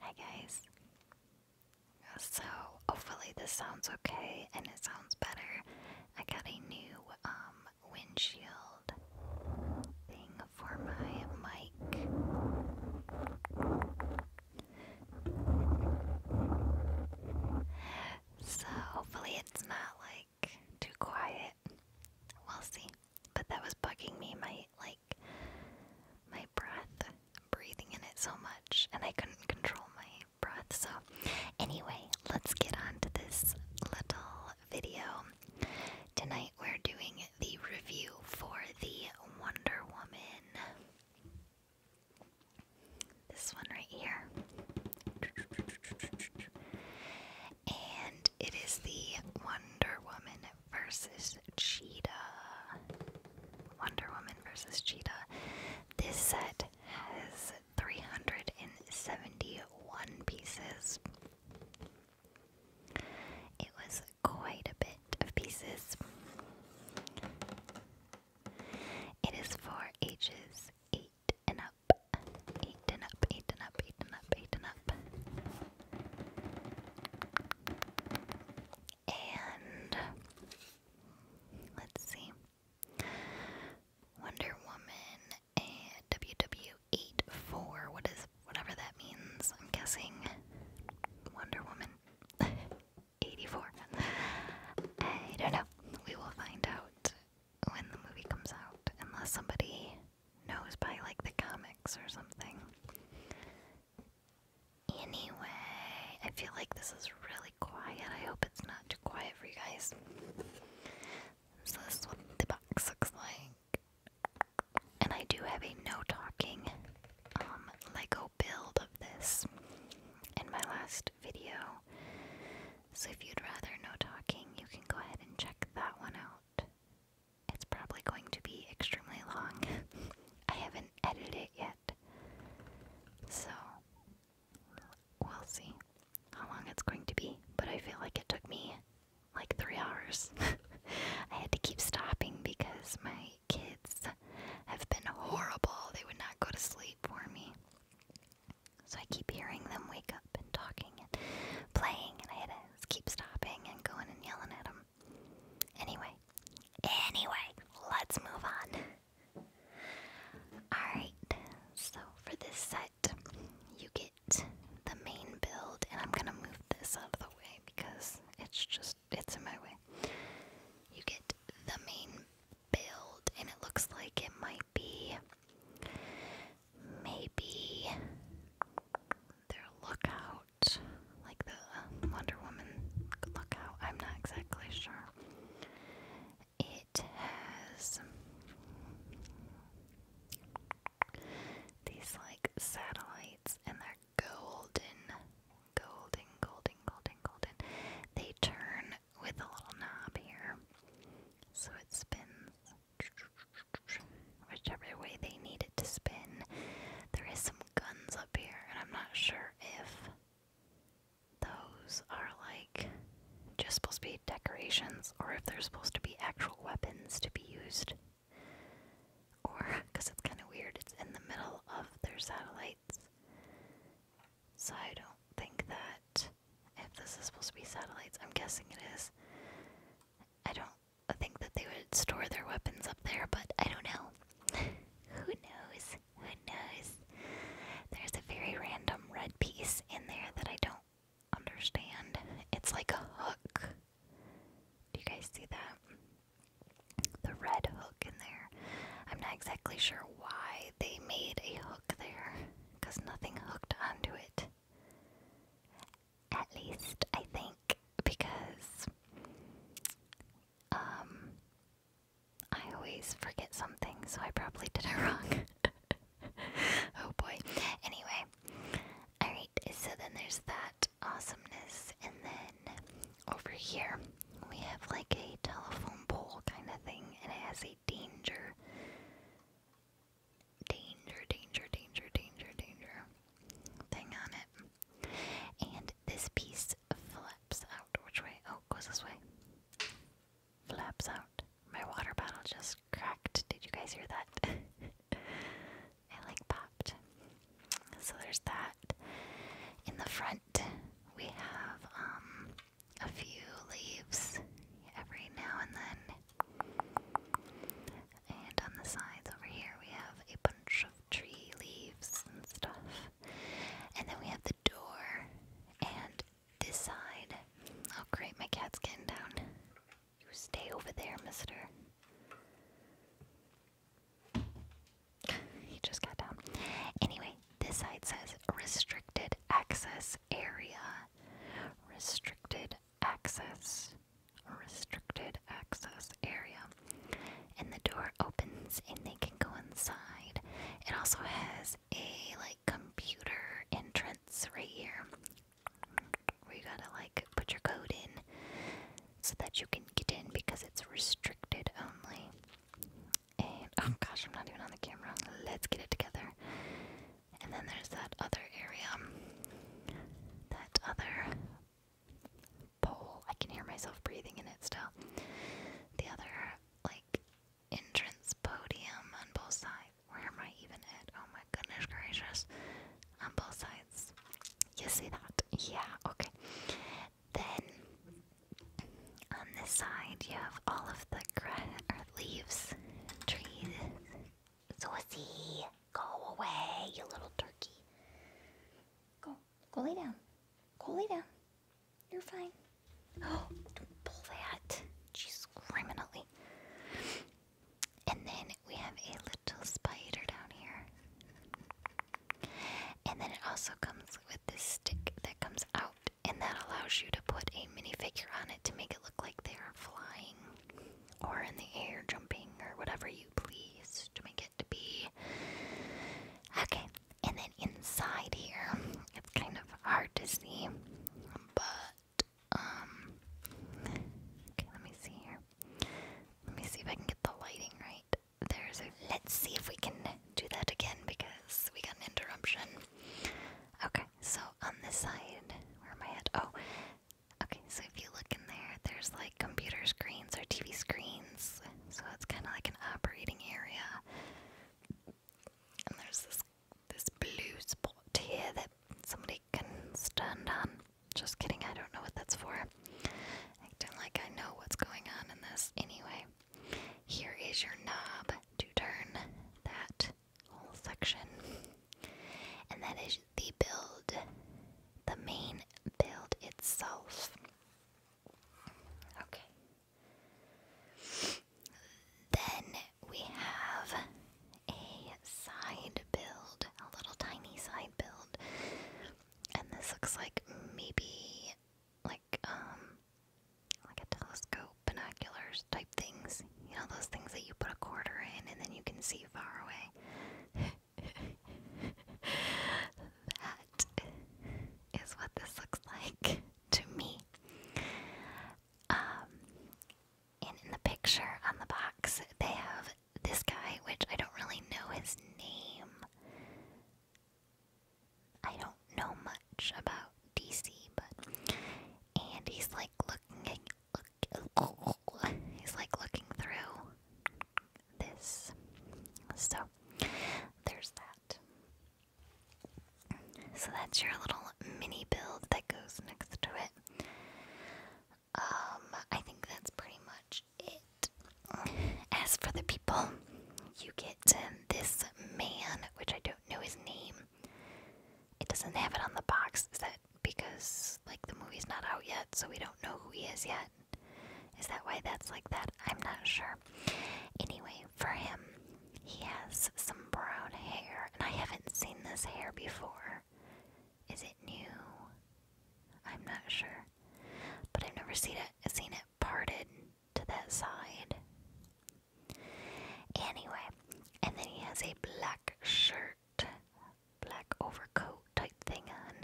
Hi guys. So hopefully this sounds okay and it sounds better. I got a new um, windshield thing for my mic. So hopefully it's not like too quiet. We'll see. But that was bugging me, my like my breath, breathing in it so much, and I couldn't control my breath. So anyway, let's get on to this little video. Tonight we're doing the review for the Wonder Woman this one right here. And it is the Wonder Woman versus Cheetah. Wonder Woman versus Cheetah. This set has 371 pieces. It was quite a bit of pieces. It is for ages eight and up, eight and up, eight and up, eight and up, eight and up. And let's see. Wonder Woman and WW84. What is whatever that means? I'm guessing Wonder Woman. 84. I don't know. We will find out when the movie comes out, unless somebody knows by like the comics or something. Anyway, I feel like this is really quiet. I hope it's not too quiet for you guys. So, this is what the box looks like. And I do have a no talking um, Lego build of this in my last video. So if you'd rather no talking, you can go ahead and check that one out. It's probably going to be extremely long. I haven't edited yet. So we'll see how long it's going to be, but I feel like it took me like three hours. I had to keep stopping because my kids have been horrible. They would not go to sleep for me. So I keep hearing them wake up and talking and playing, and I had keep stopping and going and yelling at them. Anyway, anyway, let's move on. Alright, so for this set, you get the main build, and I'm gonna move this out of the way because it's just, it's in my way. You get the main build, and it looks like it might be maybe their lookout, like the uh, Wonder Woman lookout. I'm not exactly sure. It has these like satellites, and they're golden, golden, golden, golden, golden. They turn with a little knob here. So it spins whichever way they need it to spin. There is some guns up here, and I'm not sure if those are like just supposed to be decorations or if they're supposed to be actual weapons to be used. Or, because it's kind of weird, it's in the middle of their satellite. So I don't think that if this is supposed to be satellites, I'm guessing it is. I don't think that they would store their weapons up there, but I don't know. Who knows? Who knows? There's a very random red piece in there that I don't understand. It's like a hook. Do you guys see that? The red in there. I'm not exactly sure why they made a hook there, because nothing hooked onto it. At least, I think, because um, I always forget something, so I probably did it wrong. oh boy. Anyway, alright, so then there's that awesomeness, and then over here we have like a telephone pole kind of thing, and it has a danger. Danger, danger, danger, danger, danger thing on it. And this piece flaps out. Which way? Oh, goes this way. Flaps out. My water bottle just cracked. Did you guys hear that? it like popped. So there's that. In the front, we have um, a few leaves every now and then. And on the sides over here, we have a bunch of tree leaves and stuff. And then we have the door. And this side. Oh, great, my cat's getting down. You stay over there, mister he just got down. Anyway, this side says restricted access area. Restricted access. Restricted access area. And the door opens and they can go inside. It also has a like computer entrance right here where you gotta like put your code in so that you can get in because it's restricted only oh gosh, I'm not even on the camera. Let's get it together. And then there's that other area, that other pole. I can hear myself breathing in it still. The other, like, entrance podium on both sides. Where am I even at? Oh my goodness gracious. On both sides. You see that? Yeah, okay. Then on this side you have all of the or leaves, trees. Saucy, go away, you little turkey. Go, go lay down. Go lay down. You're fine. Oh, don't pull that. She's criminally. And then we have a little spider down here. And then it also comes with this stick that comes out and that allows you to put a minifigure on it to make it look like they are flying or in the air jumping or whatever you please to make it to be okay and then inside here it's kind of hard to see but um okay let me see here let me see if i can get the lighting right there's a. Let's see if we can do that again because we got an interruption. Okay, so on this side, where am I at? Oh, okay, so if you look in there, there's like computer screens or TV screens. So it's kind of like an operating area. And there's this this blue spot here that somebody can stand on. Just kidding, I don't know what that's for. I don't like I know what's going on in this anyway. Here is your knob to turn that whole section. And that is the build, the main build itself. Okay. Then we have a side build, a little tiny side build. And this looks like maybe like like um like a telescope, binoculars type things. You know those things that you put a quarter in and then you can see far away. that is what this looks like to me. Um, and in the picture on the box, they have this guy, which I don't really know his name. I don't know much about DC, but and he's like looking, look, he's like looking through this. So there's that. So that's your little mini build that goes next to it. Um, I think that's pretty much it. As for the people, you get and this man, which I don't know his name. It doesn't have it on the box. Is that because like the movie's not out yet, so we don't know who he is yet? Is that why that's like that? I'm not sure. Anyway, for him, he has some brown hair, and I haven't seen this hair before. Is it new? I'm not sure, but I've never seen it. Seen it parted to that side. Anyway, and then he has a black shirt, black overcoat type thing on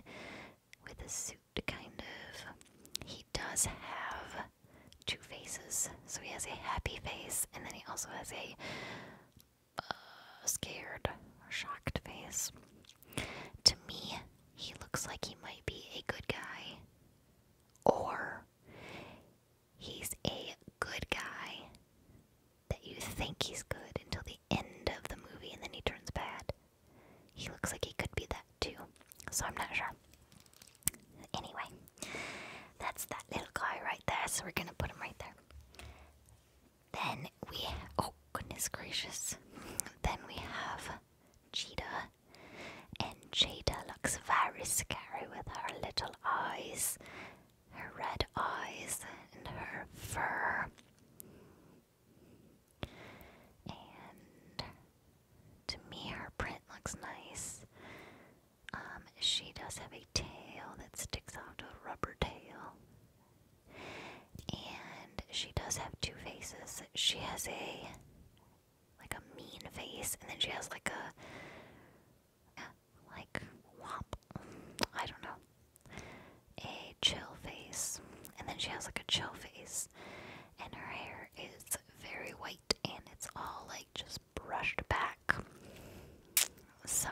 with a suit kind of. He does have two faces. So he has a happy face and then he also has a uh, scared or shocked face. To me, he looks like he might be a good guy or he's a good guy that you think he's good until the end of the movie and then he turns bad. He looks like he could be that too, so I'm not sure. Anyway, that's that little guy right there, so we're gonna put him right there. Then we, oh goodness gracious, then we have Cheetah and Cheetah looks very scary with her little eyes, her red eyes, and her fur. And to me, her print looks nice. Um, she does have a tail that sticks out, a rubber tail. And she does have two faces. She has a like a mean face, and then she has like a like I don't know. A chill face, and then she has like a chill face, and her hair is very white and it's all like just brushed back. So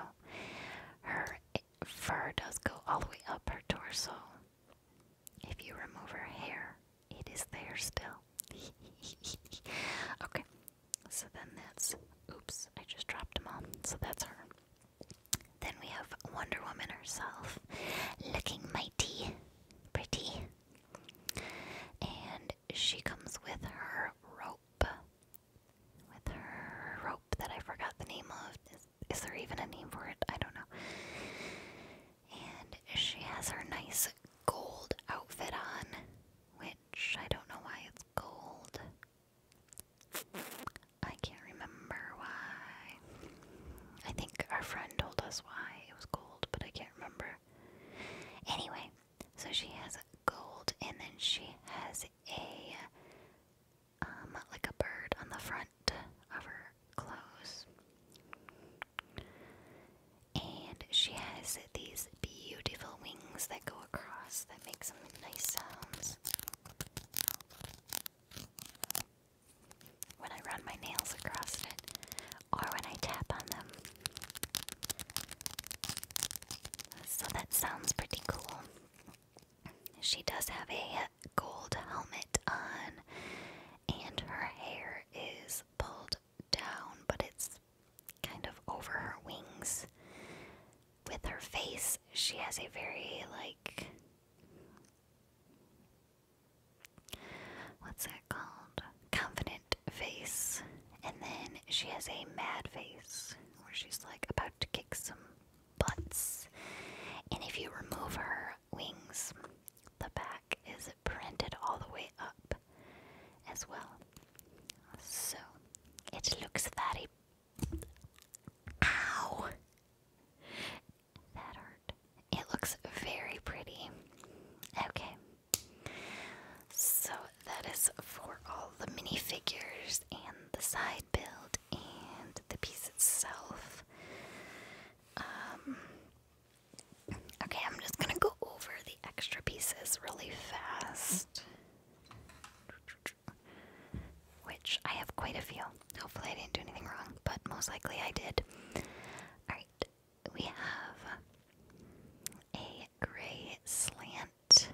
her fur does go all the way up her torso, if you remove her hair, it is there still. okay, so then that's. Oops, I just dropped them all. So that's her. Then we have Wonder Woman herself, looking mighty, pretty. And she comes with her rope. With her rope that I forgot the name of. Is, there even a name for it? I don't know. And she has her nice gold outfit on, which I don't know why it's gold. I can't remember why. I think our friend told us why it was gold, but I can't remember. Anyway, so she has gold and then she has a um like a bird on the front of her clothes. And she has these beautiful wings that go across that make some nice sounds. When I run my nails across it, or when I tap on them. So that sounds pretty cool. She does have a gold helmet on, and her hair is pulled down, but it's kind of over her wings. With her face, she has a very, like, what's that called? Confident face. And then she has a mad face where she's like about to kick some butts. And if you remove her, wings. The back is printed all the way up as well. So it looks very. Ow! That hurt. It looks very pretty. Okay. So that is for all the minifigures and the side build and the piece itself. Um, Okay, I'm just gonna go over the extra pieces really fast. Which I have quite a few. Hopefully, I didn't do anything wrong, but most likely I did. Alright, we have a gray slant.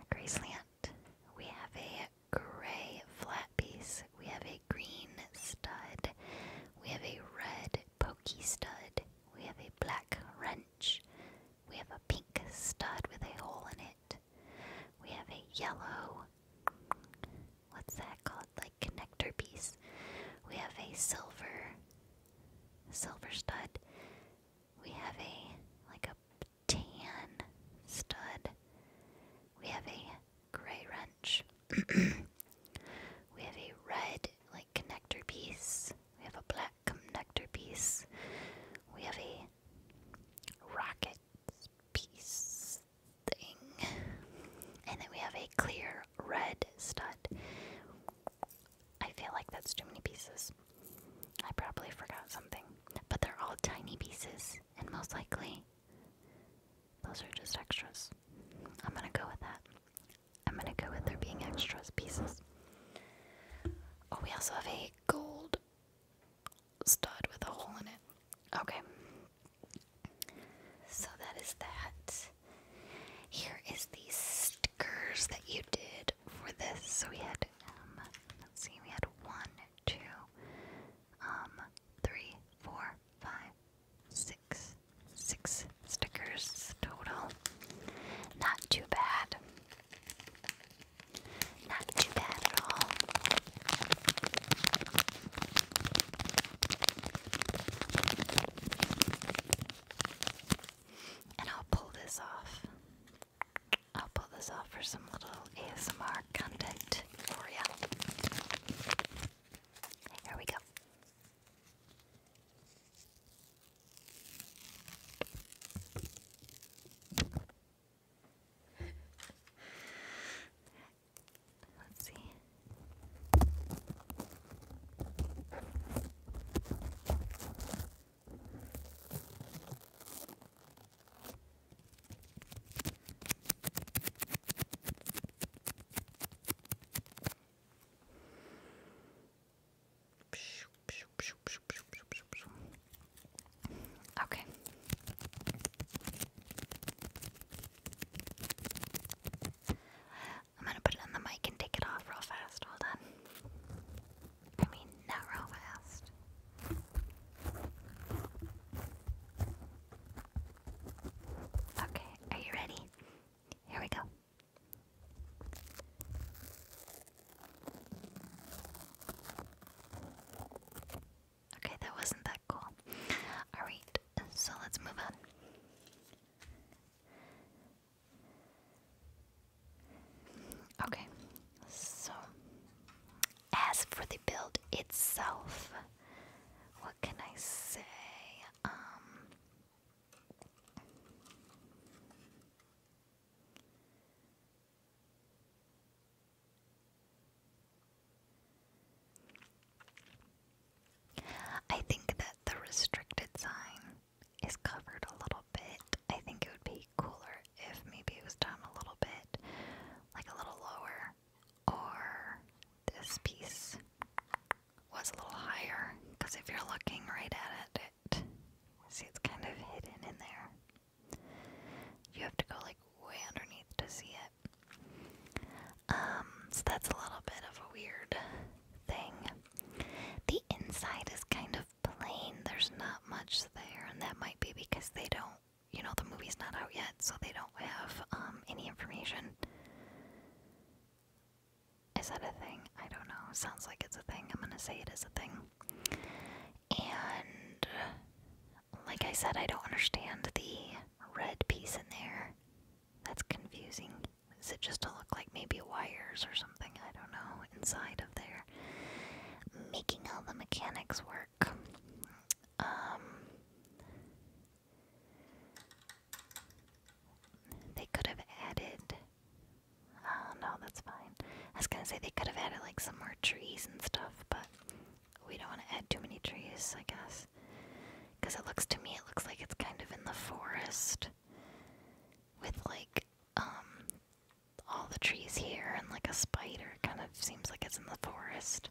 A gray slant. We have a gray flat piece. We have a green stud. We have a red pokey stud. We have a black wrench. We have a pink stud with a hole in it. We have a yellow. What's that called? Like connector piece. We have a silver. Silver stud. We have a like a tan stud. We have a gray wrench. we have a red like connector piece. We have a black connector piece. We have a rocket piece thing. And then we have a clear red stud. I feel like that's too many pieces. I probably forgot something. But they're all tiny pieces, and most likely those are just extras. I'm gonna go with that. I'm gonna go with there being extras pieces. Oh, we also have a gold stud with a hole in it. Okay. So that is that. Here is the stickers that you did for this. So we had, um, let's see, we had one, two, um, three, four, five, six, six stickers total. Not too bad. Not too bad at all. And I'll pull this off. I'll pull this off for some little ASMR content for ya. Here we go. Let's see. Okay. I'm gonna put it on the mic and take it off real fast. Hold on. I mean, not real fast. Okay, are you ready? Here we go. Okay, that wasn't that cool. Alright, so let's move on. Okay, so as for the build itself, what can I say? Um, I think that the restricted sign is covered a little bit. I think it would be cooler if maybe it was done a little bit like a little lower or this piece was a little higher because if you're looking right at it, it see it's kind of hidden in there. You have to go like way underneath to see it. Um, so that's a little bit of a weird thing. The inside is kind of plain, there's not much there, and that might be because they don't you know, the movie's not out yet, so they don't have um, any information. Is that a thing? I don't know. Sounds like it's a thing. I'm gonna say it is a thing. And like I said, I don't understand the red piece in there. That's confusing. Is it just to look like maybe wires or something? I don't know. Inside of there, making all the mechanics work. Um, they could have added. Oh no, that's fine. I was gonna say they could have added like some more trees and stuff, but we don't want to add too many trees, I guess. Because it looks to me, it looks like it's kind of in the forest with like um all the trees here and like a spider. Kind of seems like it's in the forest.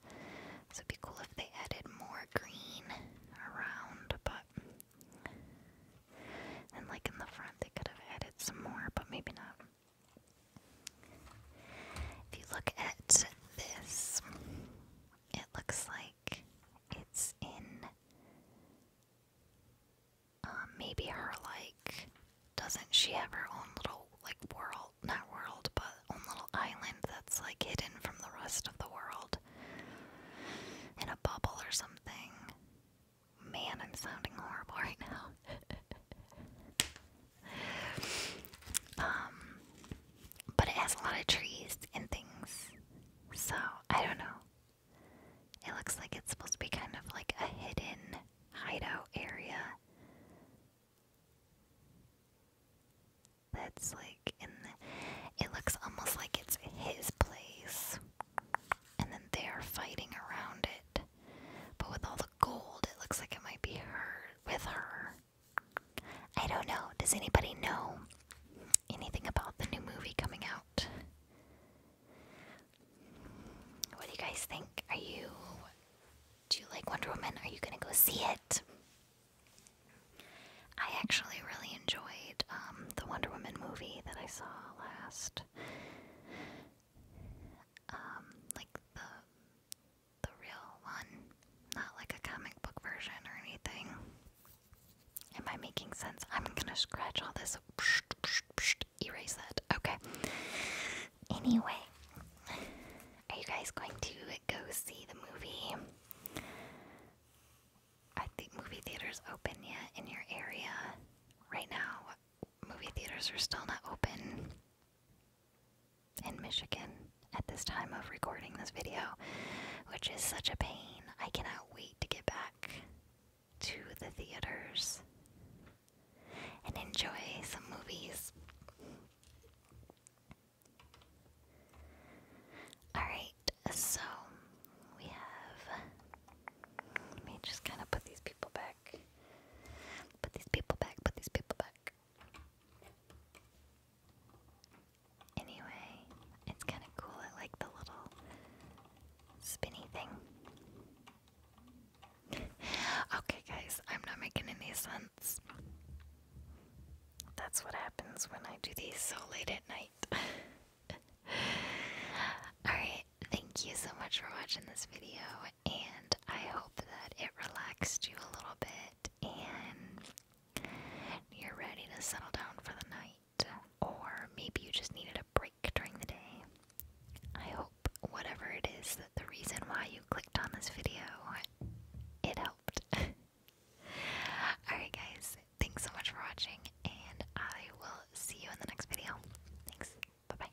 So be cool if they added more green around, but and like in the front they could have added some more, but maybe not. If you look at this, it looks like it's in uh, maybe her like doesn't she have her own little like world not world, but own little island that's like hidden from the rest of the world in a bubble or something. Man, I'm sounding horrible right now. um, but it has a lot of trees and things, so I don't know. It looks like it's supposed to be kind of like a hidden hideout area that's like in it looks almost like it's his place and then they're fighting around it but with all the gold it looks like it might be her with her i don't know does anybody know anything about the new movie coming out what do you guys think are you do you like wonder woman are you gonna go see it I actually really enjoyed um, the Wonder Woman movie that I saw last. Um, like the the real one, not like a comic book version or anything. Am I making sense? I'm gonna scratch all this. Erase that. Okay. Anyway, are you guys going to go see the movie? Are the movie theaters open yet in your area? Right now, movie theaters are still not open in Michigan at this time of recording this video, which is such a pain. I cannot wait to get back to the theaters and enjoy some movies. Alright, so we have. Let me just kind of put these people back. Put these people back, put these people back. Anyway, it's kind of cool. I like the little spinny thing. okay, guys, I'm not making any sense. That's what happens when I do these so late at night. Alright, thank you so much for watching this video, and I hope that it relaxed you a little bit and you're ready to settle down for the night, or maybe you just needed a break during the day. I hope whatever it is that the reason why you clicked on this video, it helped. Alright, guys, thanks so much for watching, and I will see you in the next video. Thanks, bye bye.